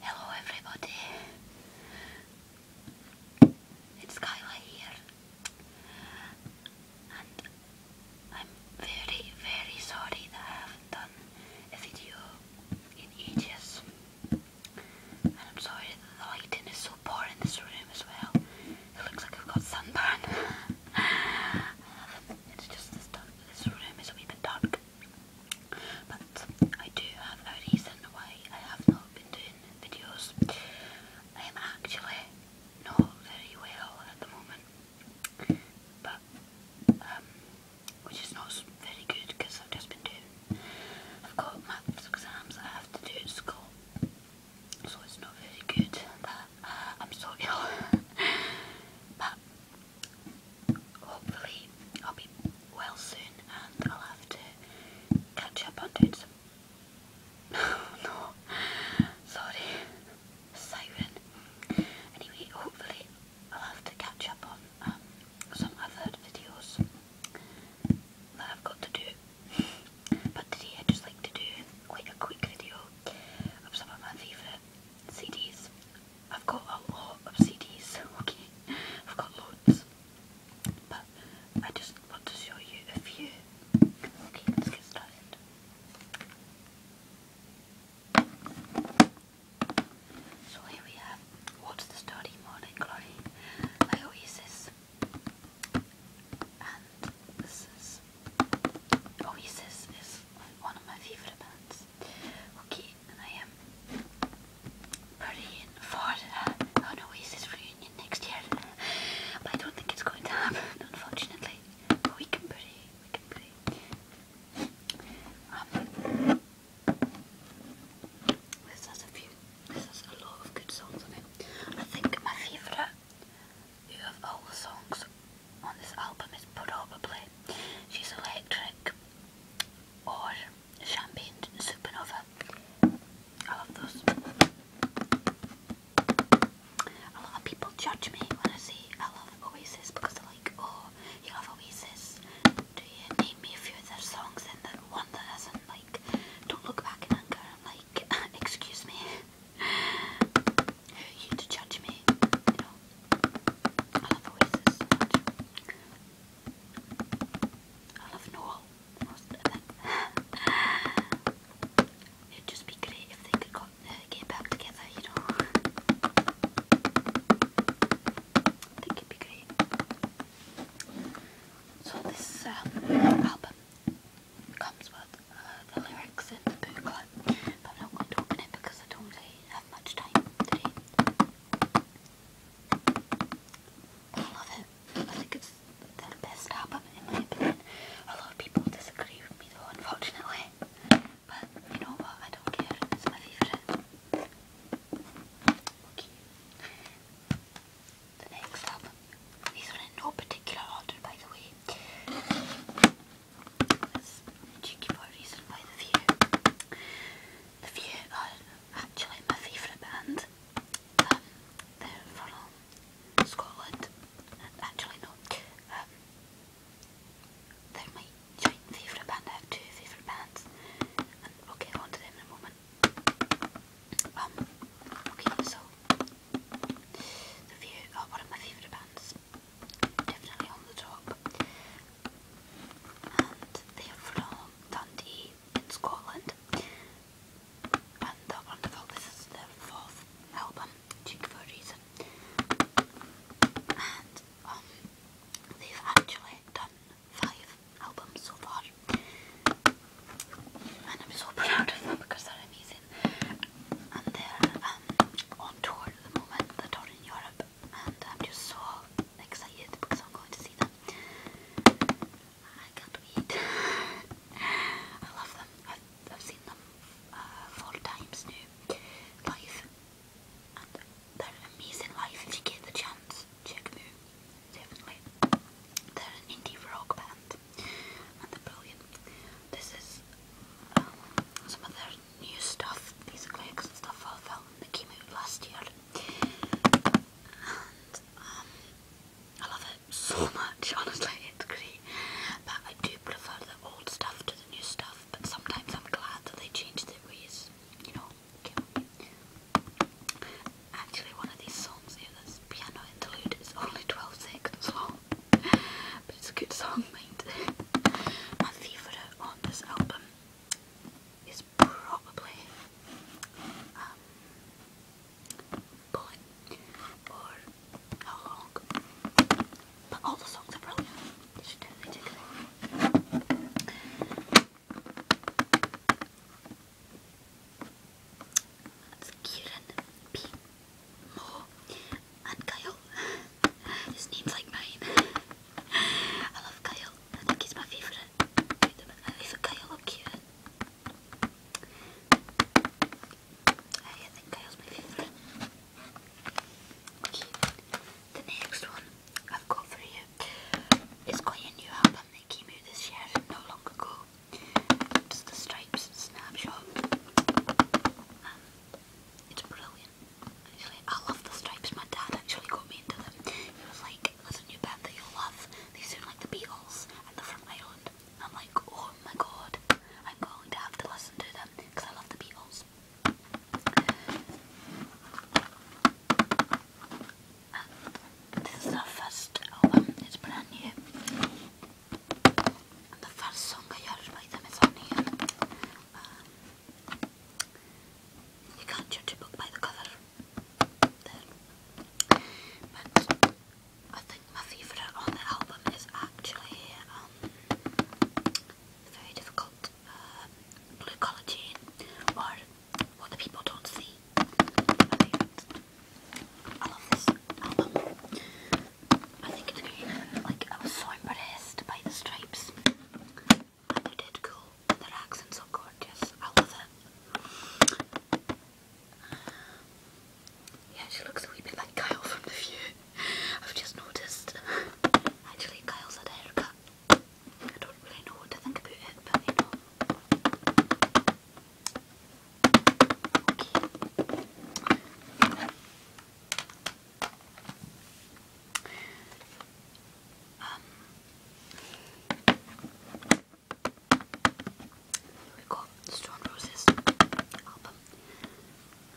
Hello everybody, it's Kyla here and I'm very very sorry that I haven't done a video in ages and I'm sorry that the lighting is so poor in this room as well, it looks like I've got sunburn. It's just this room is a wee bit dark. But I do have a reason why I have not been doing videos. I am actually not very well at the moment, but um, which is not very good because I've just been doing. I've got maths exams I have to do at school, so it's not very good that uh, I'm so ill. but hopefully I'll be well soon and I'll have to catch up on doing some no, sorry, siren. Anyway, hopefully I'll have to catch up on um, some other videos that I've got to do. But today I just like to do quite a quick video of some of my favourite CDs I've got a lot of CDs, okay? I've got loads. But I just want to show you a few. Okay, let's get started. So here we have What's the Story Morning Glory by Oasis. And this is Oasis is one of my favourite bands. Okay, I am praying for uh, an Oasis reunion next year. I don't think it's going to happen, unfortunately. But we can pray, we can pray. Um, this has a few, this has a lot of good songs on it. I think my favourite out of all the songs on this album is probably She's Electric or Champagne Supernova. I love those. A lot of people judge me when I say I love Oasis because they're like, oh, you love Oasis. Do you name me a few of their songs and the one that isn't like, don't look back in anger. like, excuse me. Who are you to judge me? I love Oasis so I love Noel it. would just be great if they could uh, get back together, you know. I it'd be great. So this um, album comes with uh, the lyrics in the booklet, but I'm not going to open it because I don't much time today. I love it. I think it's their best album in my opinion. A lot of people disagree with me though, unfortunately. But you know what? I don't care. It's my favourite. Okay. The next album. These are in no particular order by the way. That's cheeky for The View. The View are actually my favourite band. Um, they're from Scotland. Actually no. Um, they're my joint favourite band. I have two favourite bands. And we'll to them in a Um, okay, so The View are of my favourite bands is definitely on the top. they are from Dundee in Scotland. And they wonderful. This is their fourth album, Cheek for And um, they've actually done five albums so far. And I'm so proud of them because they're amazing and they're uh, um, on tour at the moment. They're touring Europe, and I'm just so excited because I'm going to see them. I can't wait. I love them. I've, I've seen them uh, four times now live, and they're amazing live. If you get the chance, check them Definitely, they're an indie rock band, and they're brilliant. This is um, some of their new stuff. These are and stuff I felt that came out last year. And um, I love it so much, honestly, it's great. But I do prefer the old stuff to the new stuff, but sometimes I'm glad that they changed the ways, you know. Actually, one of these songs here, this piano interlude, is only 12 seconds long but it's a good song, mate. My favourite on this album is probably um, Bullet or How Long. But all the songs are brilliant. You should totally Mo and Kyle. His name's like mine. I love Kyle. I think he's my favourite. My favourite Kyle cute. I think Kyle's my favourite. Okay, the next one I've got for you is quite a new album that came out this year not long ago. It's the Stripes Snapshot. Um, it's brilliant. Actually, I love the stripes. My dad actually got me into them. He was like, there's a new band that you'll love. They sound like the Beatles and they're from Ireland. And I'm like, oh my god, I'm going to have to listen to them because I love the Beatles. Uh, this is their first album. It's brand new. The first song I heard by them is um, you can't judge a book by the cover. But I think my favourite on the album is actually um, very difficult uh, Blue Collar Jane or What the People Don't See. I love this album. I think it's good. Like, I was so impressed by the stripes. they did cool. Their accents are gorgeous. I love it. Yeah, she looks a wee bit like Kyle from The View. I've just noticed. Actually, Kyle's had a haircut. I don't really know what to think about it, but you know. Okay. Um, we got Stone Roses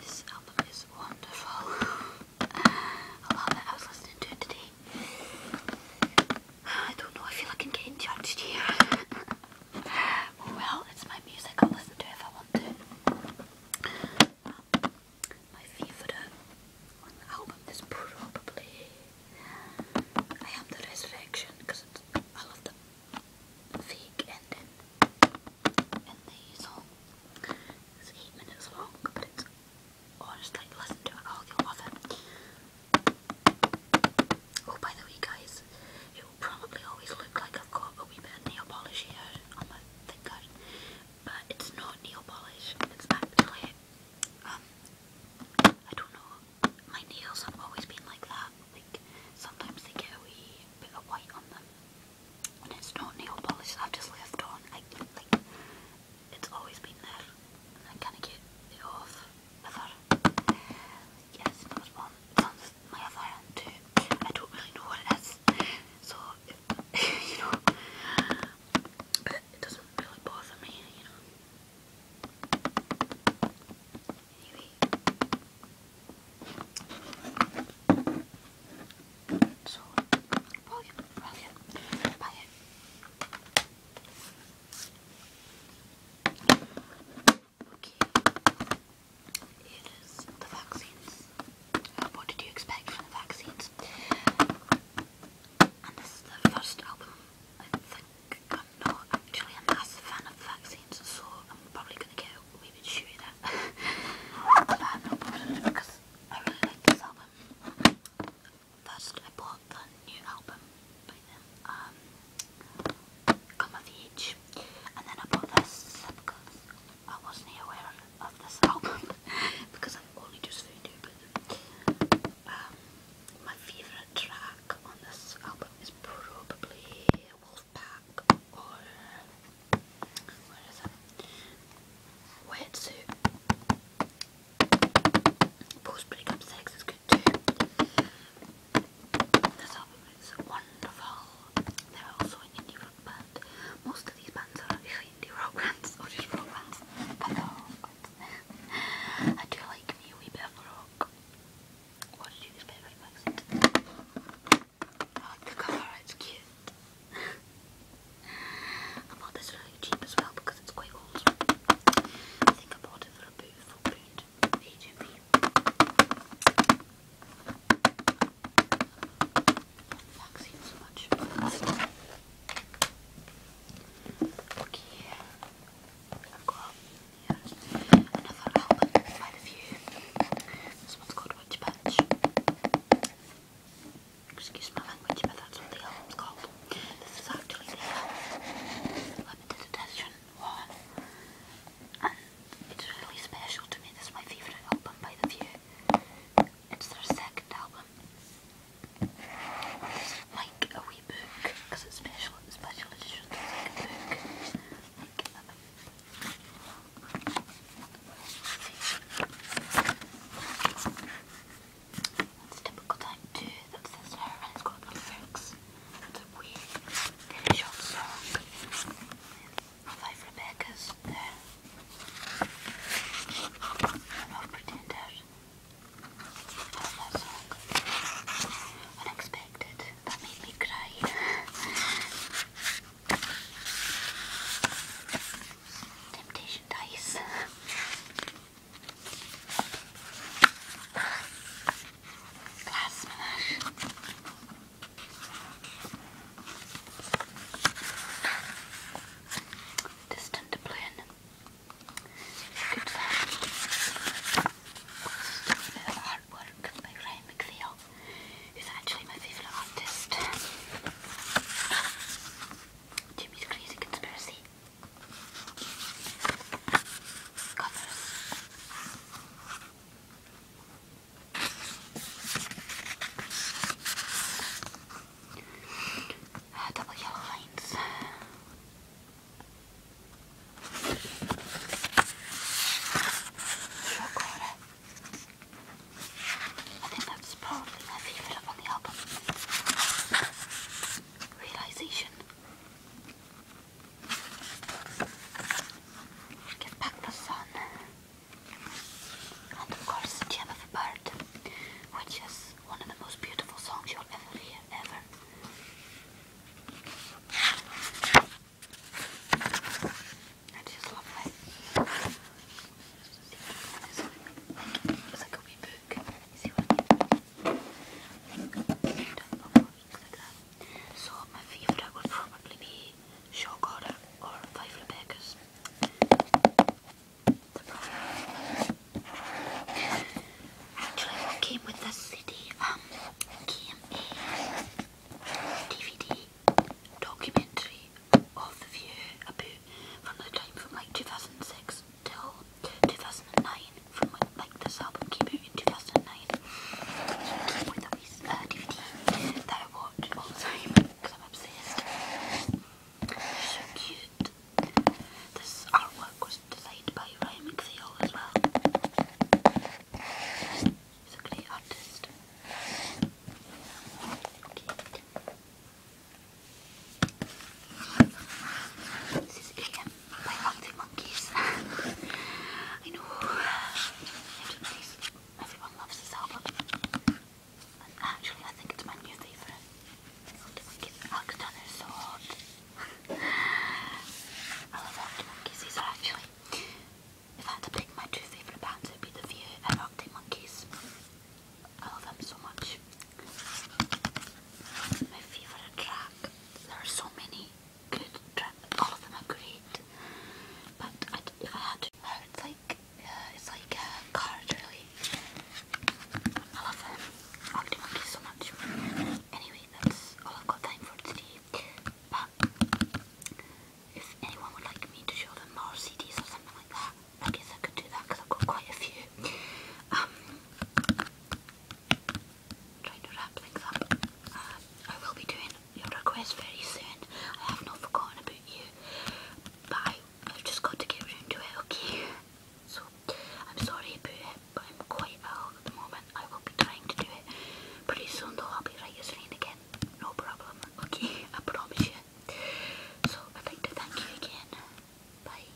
This album is wonderful. I love it. I was listening to it today. I don't know. I feel like I'm getting judged here. Well, it's my music. I'll listen to if I want to. Um, my favourite uh, album is probably I Am the Resurrection because I love the fake ending in the song. It's eight minutes long, but it's honestly, listen to it, I'll, you Oh, by the way, guys, it will probably always look like I've got a wee bit of nail polish here on oh my finger, but it's not nail polish. It's actually, um, I don't know. My nails have always been like that. Like sometimes they get a wee bit of white on them, and it's not nail polish. I've just left on. I, like it's always been there, and I kind of get it off Yes, that one comes I don't really know what it is. So, you know, but it doesn't really bother me, you know. So, well, yeah, well, yeah. Bye. Yeah. Okay. Here is the vaccines. what did you expect from the vaccines? And this is the first album. I think I'm not actually a massive fan of vaccines, so I'm probably going to get a wee bit shooted at. but I'm not bothered because I really like this album. First, I bought the new album by them. Um, come of age. And then I bought this because I wasn't aware of this album because I only just found out about um, my favourite track on this album is probably Wolfpack or where is it? Post breakup sex is good too. This album is wonderful. They're also indie rock band. Most of these bands are actually indie rock bands or just rock bands. I do like me a wee bit of rock. What did you expect from I like the colour, it's cute. I bought this really cheap as well because it's quite old. I think I bought it for about four pound v 2 so much. Okay. I've got another album by The View. This one's called Witch Bitch. Excuse my language, but that's what the album's called. This is actually the limited edition one it's really special to me. This is my favourite album by The View. It's their second album. It's like a wee book, it's special, special edition, like a book. Um, it's typical time too, that says there, and it's got the lyrics that we finish song Five Rebecca's there. I'm not that song. Unexpected. That made me cry. Temptation Dice glass menash. Distant plane. Good film. It's a bit of actually my favourite artist. Jimmy's Crazy Conspiracy. Uh, double lines. I think that's probably my favourite on the album. Realization. Get back the sun. And of course, Gem of a Bird, which is one of the most beautiful songs you'll ever hear, ever. It's just lovely. It's like a wee book. So my favourite would probably be Shaw Goddard or Five Rebecca's. Actually what came with this city. um, came a DVD documentary of the view about from the time from like 2006 till to 2009 from like this album came out in 2009 with a piece, uh, DVD that I watch all the time because I'm obsessed. so cute. This artwork was designed by Ryan McPhail as well. He's artist. This is AM by Hungry Monkeys. I know everybody's, everyone loves this album. actually, I think it's my new favourite. Hungry Monkeys. Alex Turner's so I love Hungry These are actually, if I had to pick my two favourite bands, it would be The View and Hungry Monkeys. I love them so much. My favourite track there are so many good trends. All of them are great, but I, if I had to, uh, it's like uh, it's like a card really. I love them. Oggy Monkey so much. Anyway, that's all I've got time for today. But if anyone would like me to show them more CDs or something like that, I guess I could do that because I've got quite a few. Um, try to wrap things up. Um, I will be doing your request very soon. I have not forgotten about you, but I, have just got to get round to it, okay? So, I'm sorry about it, but I'm quite ill at the moment. I will be trying to do it pretty soon, though. I'll be right as rain again. No problem, okay? I promise you. So, I'd like to thank you again. Bye.